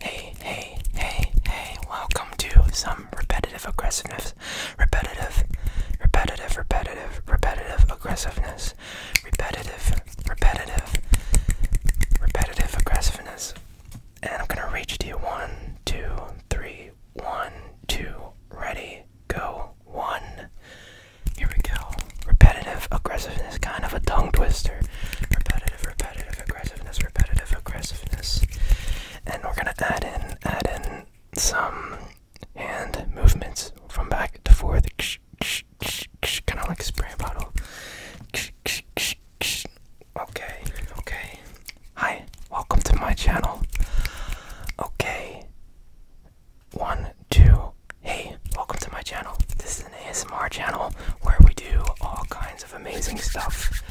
Hey, hey, hey, hey, welcome to some repetitive aggressiveness. Repetitive, repetitive, repetitive, repetitive aggressiveness. Repetitive, repetitive, repetitive aggressiveness. And I'm gonna reach to you one, two, three, one, two, ready, go, one. Here we go repetitive aggressiveness, kind of a tongue twister. Repetitive, repetitive aggressiveness, repetitive aggressiveness. And we're gonna add in, add in some hand movements from back to forth, kind of like a spray bottle. Okay, okay. Hi, welcome to my channel. Okay. One, two, Hey, welcome to my channel. This is an ASMR channel where we do all kinds of amazing stuff.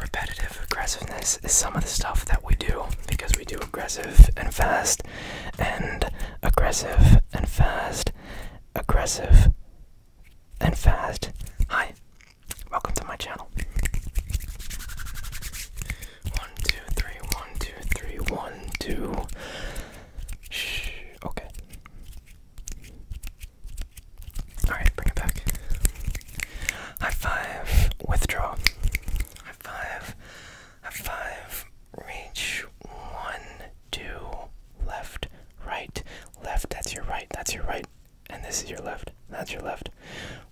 Repetitive aggressiveness is some of the stuff that we do because we do aggressive and fast, and aggressive and fast, aggressive and fast. Hi, welcome to my channel. One, two, three, one, two, three, one, two. Shh. Okay. Alright, bring it back. High five. Withdraw. High five. High five. Reach. One, two, left, right, left. That's your right. That's your right. And this is your left. That's your left.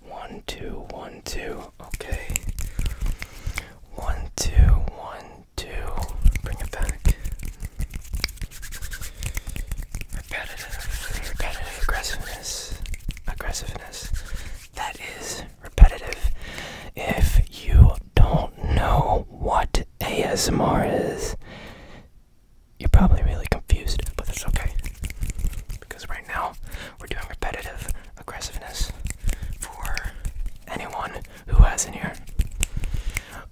One, two, one, two. Okay. One, two, one, to bring it back. Repetitive, repetitive aggressiveness, aggressiveness. That is repetitive. If you don't know what ASMR is, you're probably really confused, but that's okay. Because right now, we're doing repetitive aggressiveness for anyone who hasn't here?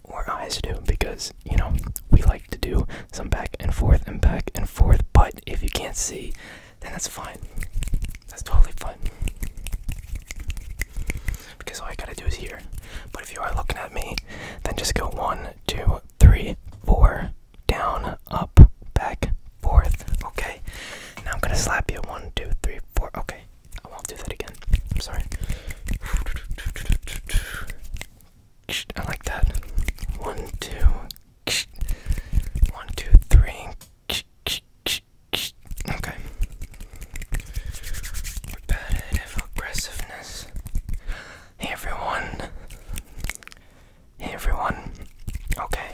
Or I do, because, you know, we like to do some back and forth and back and forth, but if you can't see, then that's fine. That's totally fine. Because all I gotta do is here. But if you are looking at me, then just go one, two, three, four, down, up, back, forth. Okay? Now I'm gonna slap you. One, two, three, four. Okay. I won't do that again. I'm sorry. I like that. One, two. One, two, three. Okay. Repetitive aggressiveness. Hey everyone. Hey everyone. Okay.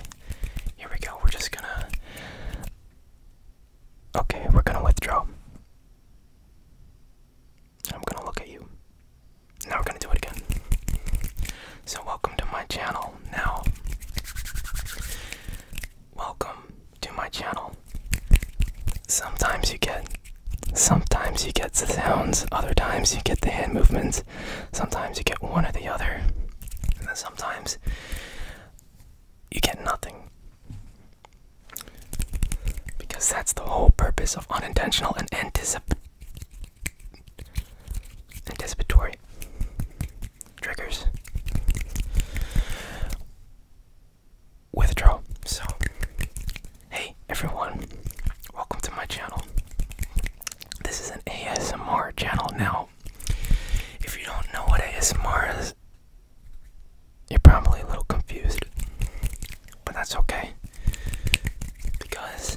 Here we go. We're just gonna. Okay, we're gonna withdraw. I'm gonna look at you. Now we're gonna do it again. So, welcome to my channel. Now, welcome to my channel. Sometimes you get. Sometimes you get the sounds, other times you get the hand movements, sometimes you get one or the other, sometimes you get nothing. Because that's the whole purpose of unintentional and anticipatory triggers. Withdraw. So, hey everyone, welcome to my channel. This is an ASMR channel now if you don't know what ASMR is, you're probably a little confused. But that's okay. Because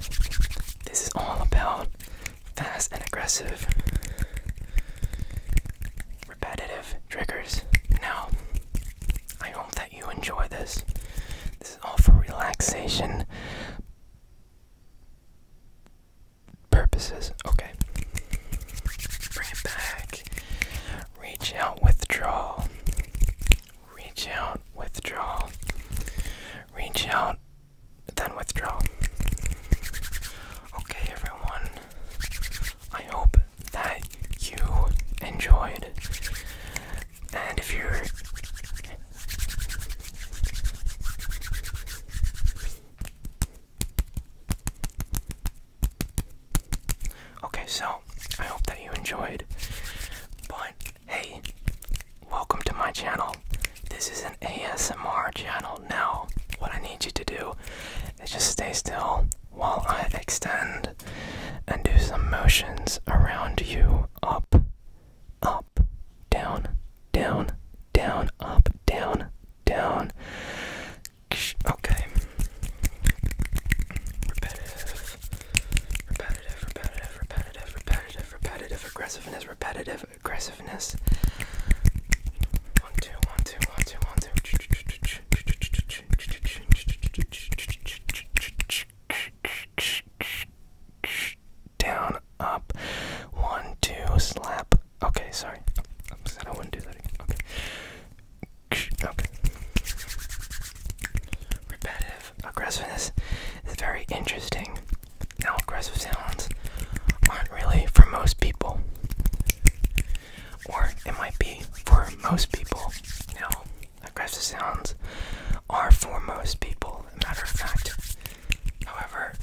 this is all about fast and aggressive, repetitive triggers. Now, I hope that you enjoy this. This is all for relaxation purposes. Okay. Bring it back. Reach out, withdraw. Reach out, withdraw. Reach out, then withdraw. Okay, everyone. I hope that you enjoyed. And if you're Okay, so I hope that you enjoyed. But hey, welcome to my channel. This is an ASMR channel. Now, what I need you to do is just stay still while I extend and do some motions around you up, up, up, down, down, down, up, down, down. Okay. Repetitive, repetitive, repetitive, repetitive, repetitive, repetitive, aggressiveness, repetitive, aggressiveness. One, two, one, two, one, two, one, two down, up, one, two, slap. Okay, sorry. I said I wouldn't do that again. Okay. Okay. Repetitive aggressiveness is very interesting. Now, aggressive sounds aren't really for most people. Or it might be for most people. Now, aggressive sounds are for most people matter of fact. However,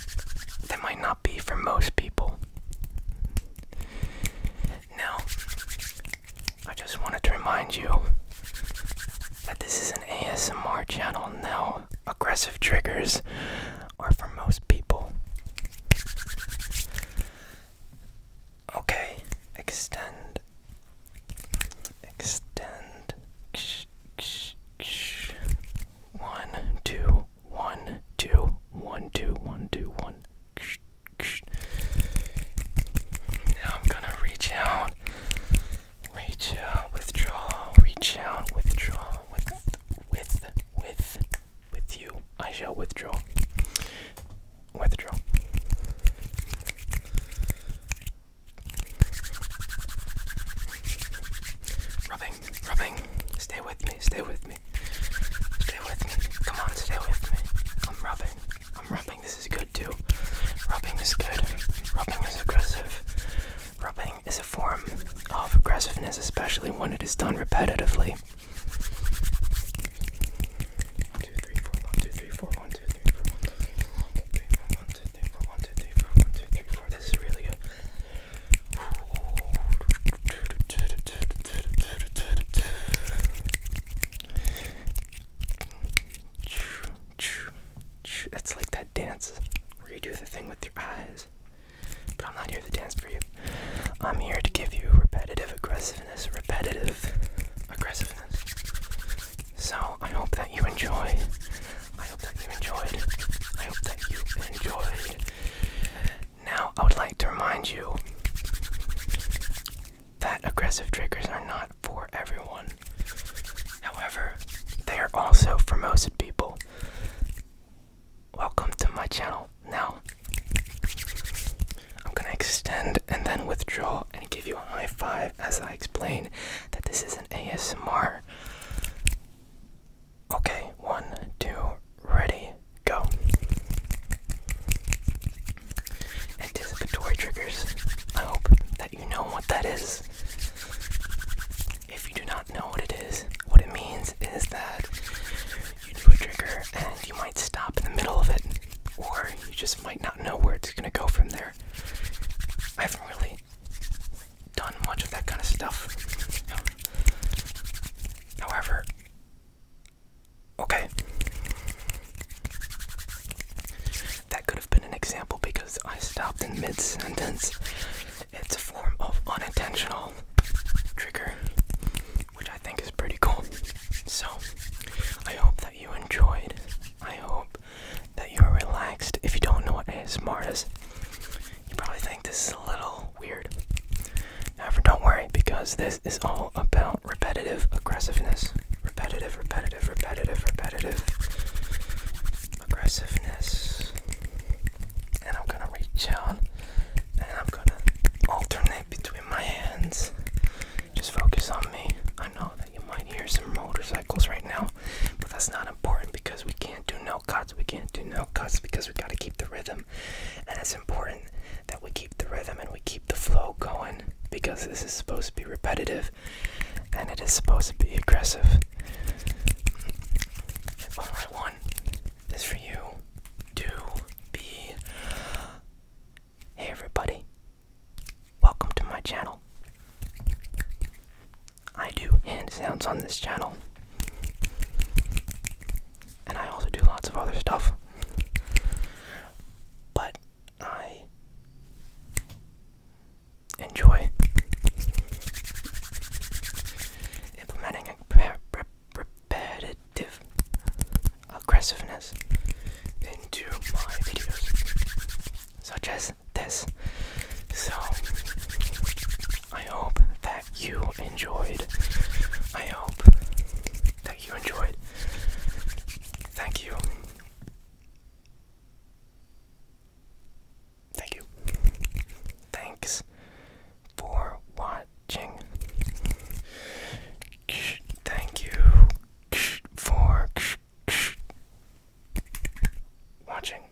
they might not be for most people. Now, I just wanted to remind you that this is an ASMR channel now. Aggressive triggers are for most people. Okay, extend, extend, one, two, one, two, one, two, one, two, one. Now I'm gonna reach out, reach out, withdraw, reach out, withdraw, with, with, with, with you. I shall withdraw, withdraw. Rubbing, rubbing. Stay with me, stay with me. Stay with me. Come on, stay with me. I'm rubbing. I'm rubbing. This is good too. Rubbing is good. Rubbing is aggressive. Rubbing is a form of aggressiveness, especially when it is done repetitively. 1, 2, 3, 4, two, four, one, two, three, four, one, two, three, four. This is really good. It's like that dance where you do the thing with your eyes. But I'm not here to dance for you. I'm here to give you repetitive aggressiveness, repetitive aggressiveness. So I hope that you enjoy. I hope that you enjoyed. I hope that you enjoyed. Now I would like to remind you that aggressive triggers are not for everyone. However, they are also for most people. Welcome to my channel. Now, I'm gonna extend and then withdraw and give you a high five as I explain that this is an ASMR. Okay, one, two, ready, go. Anticipatory triggers. I hope that you know what that is. If you do not know what it is, what it means is that you do a trigger and you might stop in the middle of it, or you just might not know where it's gonna go from there. I haven't really done much of that kind of stuff. However, okay. That could have been an example because I stopped in mid sentence. It's a form of unintentional trigger, which I think is pretty cool. So, I hope that you enjoyed. I hope that you're relaxed. If you don't know what ASMR is, you probably think this is a little weird. However, don't worry because this is all about repetitive aggressiveness. Repetitive, repetitive, repetitive, repetitive aggressiveness. And I'm gonna reach out and I'm gonna alternate between my hands. Just focus on me. I know that you might hear some motorcycles right now, but that's not important because we can't do no cuts. We can't do no cuts because we gotta keep the rhythm. And it's important that we keep the rhythm and we keep the flow going because this is supposed to be repetitive and it is supposed to be aggressive. Alright, one is for you to be Hey everybody, welcome to my channel. I do hand sounds on this channel, and I also do lots of other stuff. But I enjoy implementing a repetitive aggressiveness into my videos, such as this. So, I hope that you enjoyed. I hope that you enjoyed. Thank you. Thank you. Thanks for watching. Thank you for watching.